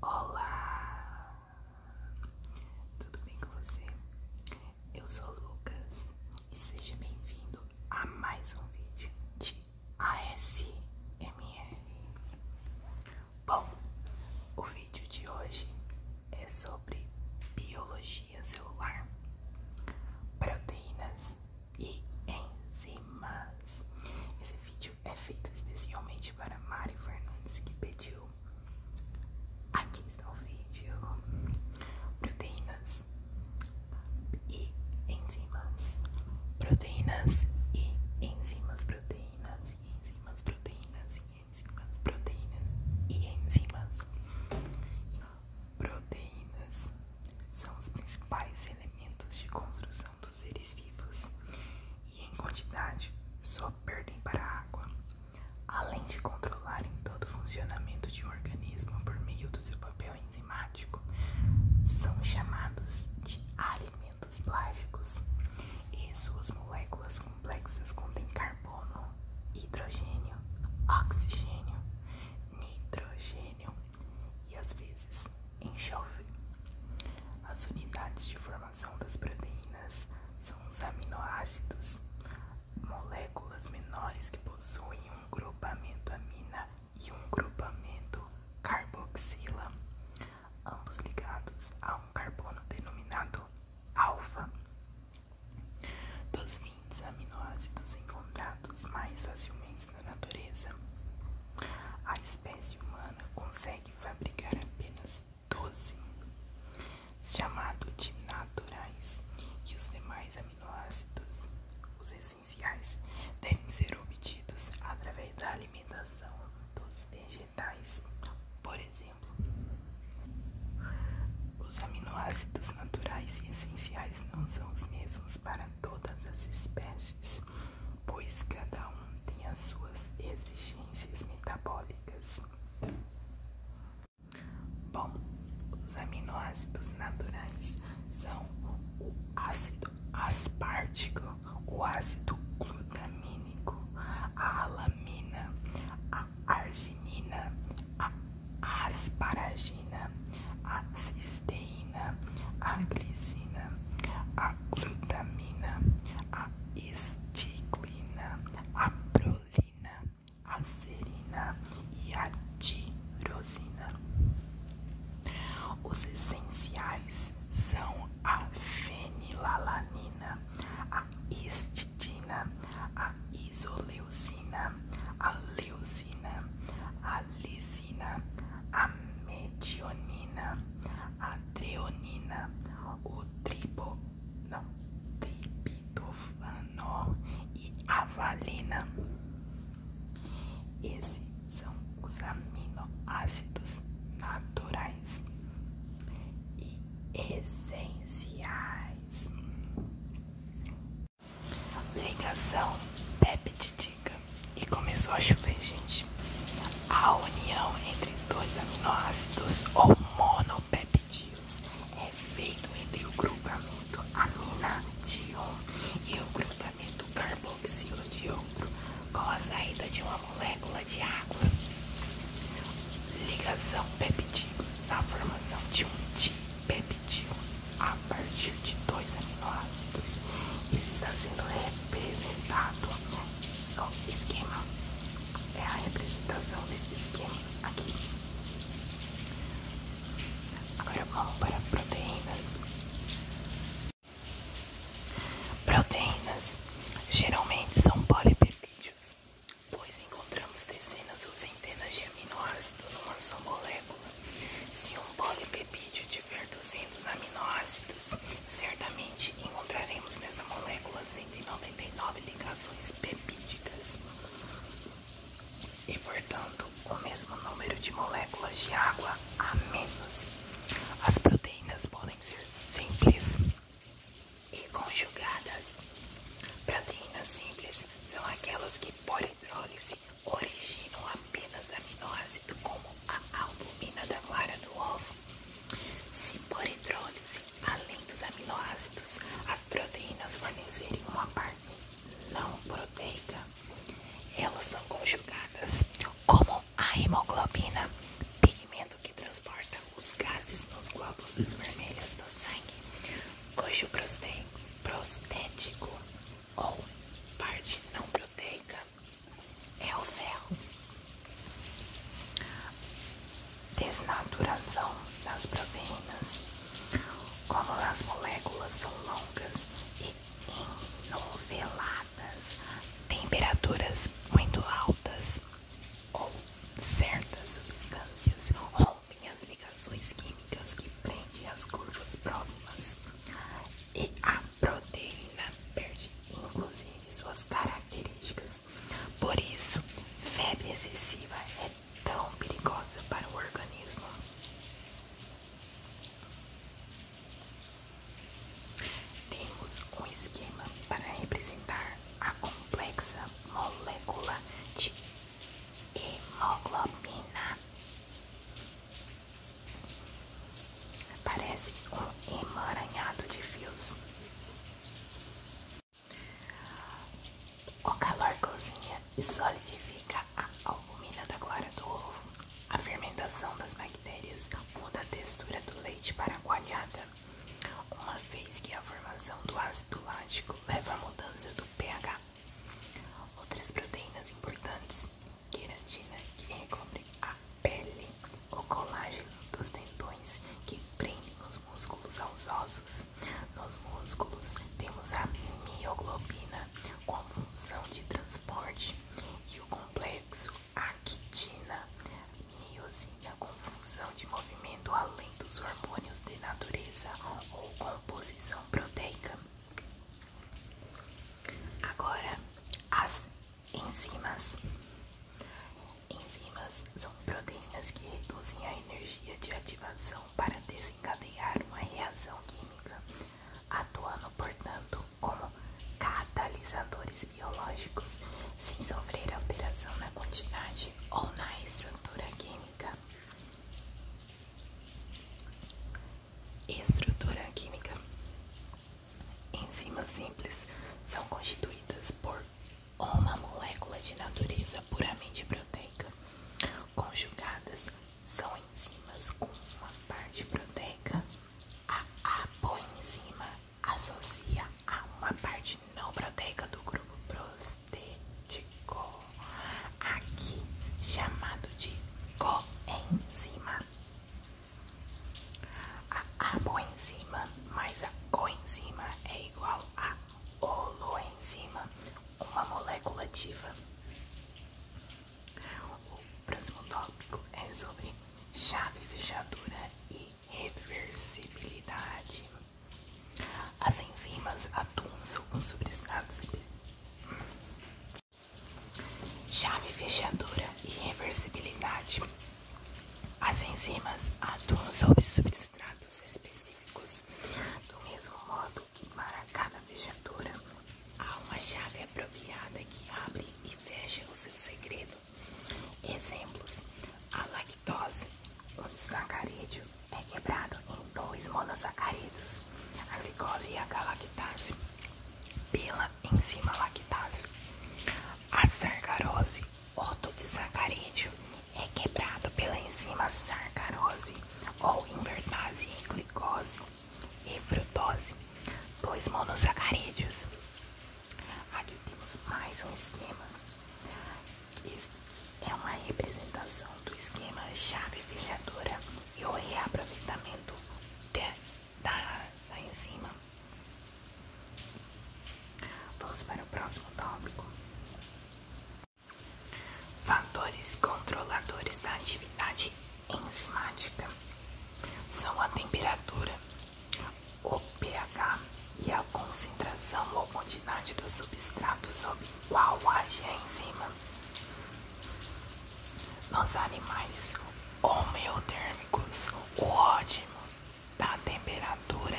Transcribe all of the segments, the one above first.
Olá, tudo bem com você? Eu sou Lucas e seja bem-vindo a mais um vídeo de ASMR. Bom, o vídeo de hoje é sobre biologia celular, proteínas e enzimas. Esse vídeo é feito especialmente para Mari Fernandes que pediu. Aqui está o vídeo: proteínas e enzimas, proteínas e enzimas, proteínas e enzimas, proteínas e enzimas. Proteínas são os principais elementos de construção dos seres vivos e, em quantidade, só perdem para a água, além de controlarem todo o funcionamento de um organismo por meio do seu papel enzimático. São chamados de alimentos plásticos e suas moléculas complexas contêm carbono, hidrogênio, oxigênio, nitrogênio e às vezes Enxofre. As unidades de formação das proteínas são os aminoácidos, moléculas menores que possuem um grupamento amina e um grupamento carboxila, ambos ligados a um carbono denominado alfa. Dos 20 aminoácidos encontrados mais facilmente na natureza. A espécie humana consegue fabricar apenas 12, chamado de naturais, e os demais aminoácidos, os essenciais, devem ser obtidos através da alimentação dos vegetais. Por exemplo, os aminoácidos naturais e essenciais não são os mesmos para todas as espécies pois cada um tem as suas exigências metabólicas. Bom, os aminoácidos naturais são o ácido aspártico, o ácido glutamínico, a alamina, a arginina, a asparagina, a cisteína a glicina, a glutamina, a estiglina, a prolina, a serina e a tirosina. Os essenciais são a fenilalanina, a histidina, a isoleucina, a leucina, a lisina, a metionina, a treonina, o tribo, não, triptofano e a valina. Esses são os aminoácidos naturais e essenciais. Ligação peptídica e começou a chover, gente. A união entre dois aminoácidos ou monopeptídeos é feita entre o grupamento amina de um e o grupamento carboxila de outro, com a saída de uma molécula de água. Ligação peptídeo na formação de um dipeptídeo a partir de dois aminoácidos. Isso está sendo representado no esquema. É a representação desse esquema aqui. Agora eu vou para proteínas. Proteínas geralmente são polipepídeos, pois encontramos dezenas ou centenas de aminoácidos numa só molécula. Se um polipepídeo tiver 200 aminoácidos, certamente encontraremos nessa molécula 199 ligações pepídicas e, portanto, o mesmo número de moléculas de água a menos. As proteínas podem ser simples e conjugadas. Proteínas simples são aquelas que, por hidrólise, que originam apenas aminoácidos como a albumina da clara do ovo. Se por hidrólise, além dos aminoácidos, as proteínas fornecerem uma parte não proteica, elas são conjugadas como a hemoglobina, pigmento que transporta os gases nos glóbulos vermelhos do sangue, cujo prostético ou parte não proteica é o ferro. Desnaturação das proteínas. Como as moléculas são longas e enoveladas, temperaturas muito altas ou certas substâncias rompem as ligações químicas que prende as curvas próximas e a proteína perde inclusive suas características. Por isso, febre excessiva é tão perigosa para o organismo. Temos um esquema para representar a complexa molécula de hemoglobina. Parece um emaranhado de fios. O calor cozinha e solidifica a albumina da clara do ovo. A fermentação das bactérias muda a textura do leite para a coalhada, uma vez que a formação do ácido lático leva à mudança do pH Outras proteínas importantes: queratina, que recobre a pele, o colágeno dos tendões, que prende os músculos aos ossos. Nos músculos temos a mioglobina, com função de transporte, e o complexo actina, miosina, com função de movimento além dos hormônios de natureza ou composição proteica. Agora, as enzimas. Enzimas são proteínas que reduzem a energia de ativação para desencadear uma reação química, atuando, portanto, como catalisadores biológicos sem sofrer alteração na quantidade ou na estrutura química. Estrutura química. Enzimas simples são constituídas por uma molécula de natureza puramente proteica. Conjugadas são enzimas com uma parte proteica. A apoenzima associa a uma parte não proteica do grupo proteína estético, aqui chamado de coenzima. A aboenzima mais a coenzima é igual a holoenzima, uma molécula ativa. O próximo tópico é sobre chave, fechadura e reversibilidade. As enzimas atuam sobre os substratos. Chave fechadora e reversibilidade. As enzimas atuam sobre substratos específicos do mesmo modo que para cada fechadura há uma chave apropriada que abre e fecha o seu segredo. Exemplos: a lactose, um sacarídeo, é quebrado em dois monossacarídeos, a glicose e a galactase, pela enzima lactase. A sarcarose, otodesacarídeo, é quebrado pela enzima sarcarose ou invertase em glicose e frutose, dois monossacarídeos. Aqui temos mais um esquema. Isso é uma representação do esquema chave fechadora e o reaproveitamento de, da, da enzima. Vamos para o próximo tópico. Fatores controladores da atividade enzimática são a temperatura, o pH e a concentração ou quantidade do substrato sob qual a algé em Nos animais homeotérmicos, o ótimo da temperatura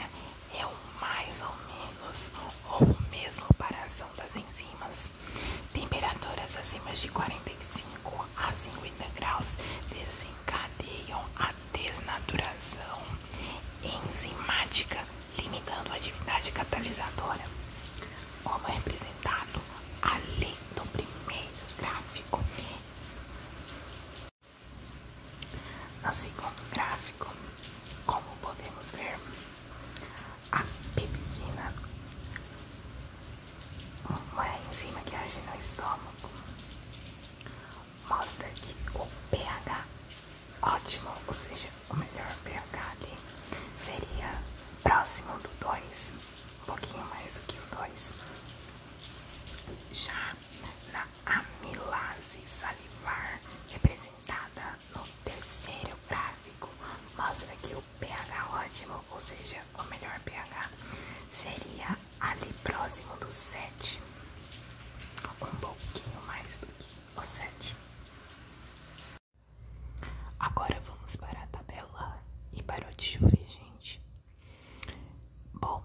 é o mais ou menos ou mesmo para a ação das enzimas. Temperaturas acima de 45 a 50 graus desencadeiam a desnaturação enzimática limitando a atividade catalisadora, como é representado ali no primeiro gráfico. No segundo gráfico, como podemos ver, a pepsina, uma é enzima que age no estômago, mostra que o pH ótimo, ou seja, o melhor pH ali seria próximo do 2, um pouquinho mais do que o 2. Já na amilase salivar, representada no terceiro gráfico, mostra que o pH ótimo, ou seja, o melhor pH, seria ali próximo do 7, um pouquinho mais do que o 7. Agora vamos para a tabela e parou de chover, gente. Bom,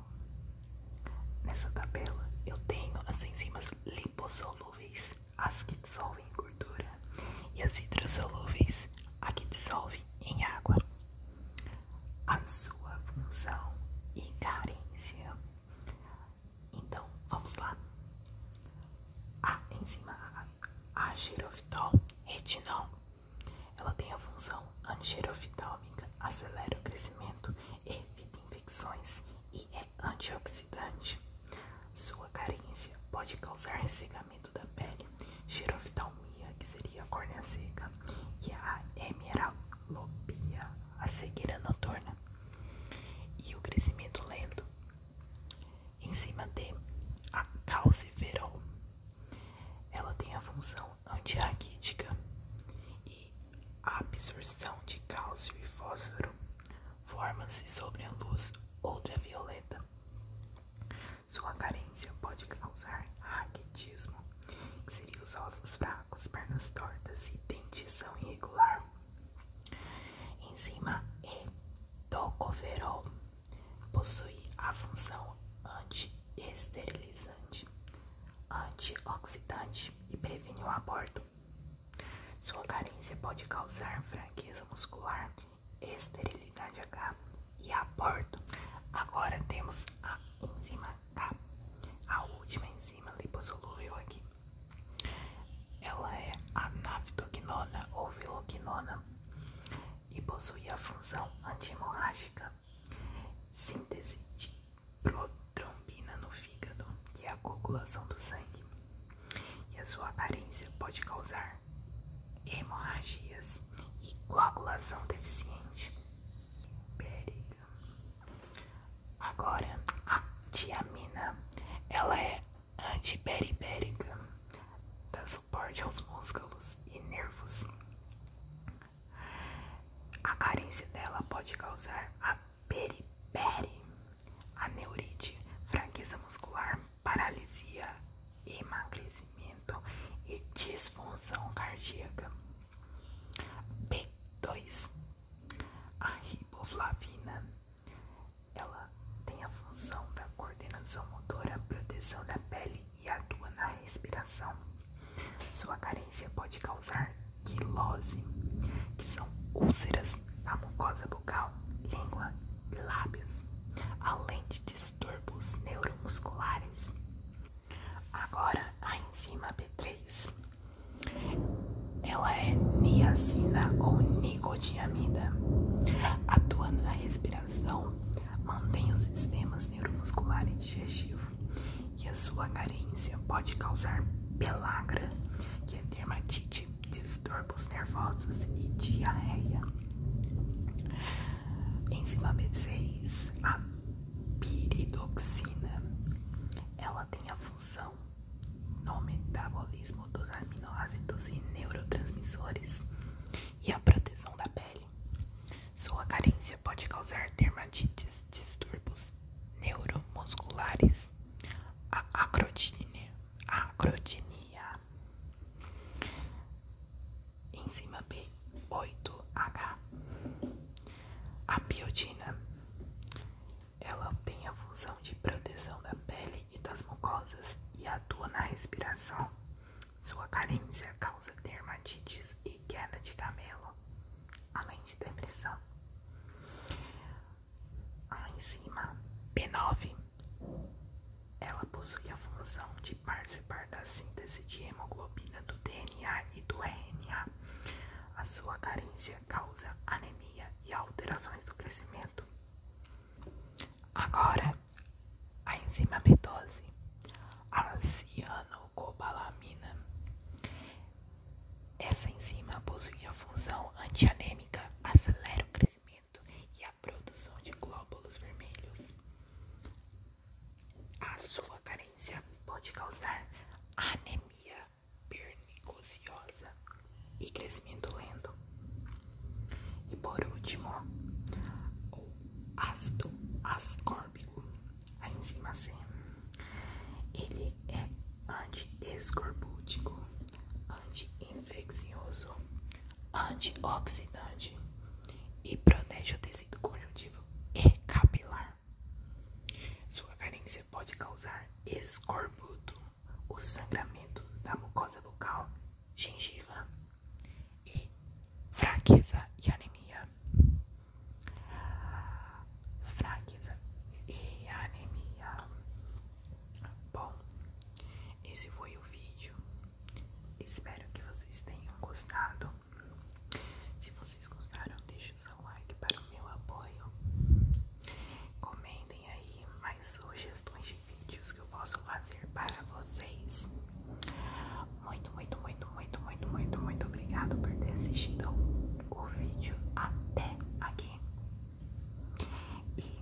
nessa tabela eu tenho as enzimas liposolúveis, as que dissolvem em gordura, e as hidrosolúveis, as que dissolvem em água. A sua função e carência então, vamos lá. A enzima A, a xerofitol, retinol, ela tem a função antireofitálmica, acelera o crescimento, evita infecções e é antioxidante. Sua carência pode causar ressecamento da pele, xeroftalmia, que seria a córnea seca, e a hemeralopia, a cegueira noturna e o crescimento lento. Em cima de a calciferol, ela tem a função antirraquítica e a absorção de cálcio e fósforo forma-se sobre a luz ultravioleta. Sua carência pode causar raquitismo, que seria os ossos fracos, pernas tortas e dentição irregular. Em cima, E é do possui a função anti-esterilizante, antioxidante e previne o aborto. Sua carência pode causar fraqueza muscular, esterilidade H e aborto. Agora temos a enzima K, a última enzima lipossolúvel aqui. Ela é a anaftoquinona ou viloginona e possui a função anti-hemorrágica, síntese de protrombina no fígado, que é a coagulação do sangue, e a sua aparência pode causar hemorragias e coagulação deficiente. Impérica. Agora, a tiamina, ela é antiperibérica, dá suporte aos músculos e nervos. A carência dela pode causar a peripere, aneurite, fraqueza muscular, paralisia, emagrecimento e disfunção cardíaca. B2 a riboflavina ela tem a função da coordenação motora, proteção da pele e atua na respiração. Sua carência pode causar quilose, que são úlceras na mucosa bucal, língua e lábios, além de distúrbios neuromusculares. Agora a enzima B3. Ela é niacina ou nicotiamida. Atuando na respiração, mantém os sistemas neuromuscular e digestivo. E a sua carência pode causar pelagra, que é dermatite, distúrbios nervosos e diarreia. Enzima B6, a piridoxina. Ela tem a função, no metabolismo dos aminoácidos e neurotransmissores e a proteção da pele. Sua carência pode causar dermatites, distúrbios neuromusculares, a a acrotinia. enzima B8H a biotina, ela tem a função de proteção da pele e das mucosas e atua na respiração. Sua carência causa dermatites e queda de camelo, além de depressão. A ah, enzima B9 ela possui a função de participar da síntese de hemoglobina do DNA e do RNA, a sua carência causa anemia e alterações do crescimento. Agora, a enzima B12, a cianocobalamina. Essa enzima possui a função antianêmica, acelera o crescimento e a produção de glóbulos vermelhos. A sua carência pode causar anemia anemia e crescimento lento. E por último, o ácido ascórbico, a enzima C. Ele é antiescorbútico, anti-infeccioso, antioxidante e protege o tecido conjuntivo e capilar. Sua carência pode causar escorbuto, o sangramento da mucosa bucal, gengiva e fraqueza e anemia. Fraqueza e anemia. Bom, esse foi o vídeo. Espero que vocês tenham gostado. Se vocês gostaram, deixem o seu like para o meu apoio. Comentem aí mais sugestões de vídeos que eu posso fazer para vocês. Muito, muito, muito, muito, muito, muito, muito obrigado por ter assistido o vídeo até aqui. E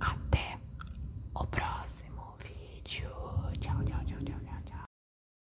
até o próximo vídeo. Tchau, tchau, tchau, tchau, tchau. tchau.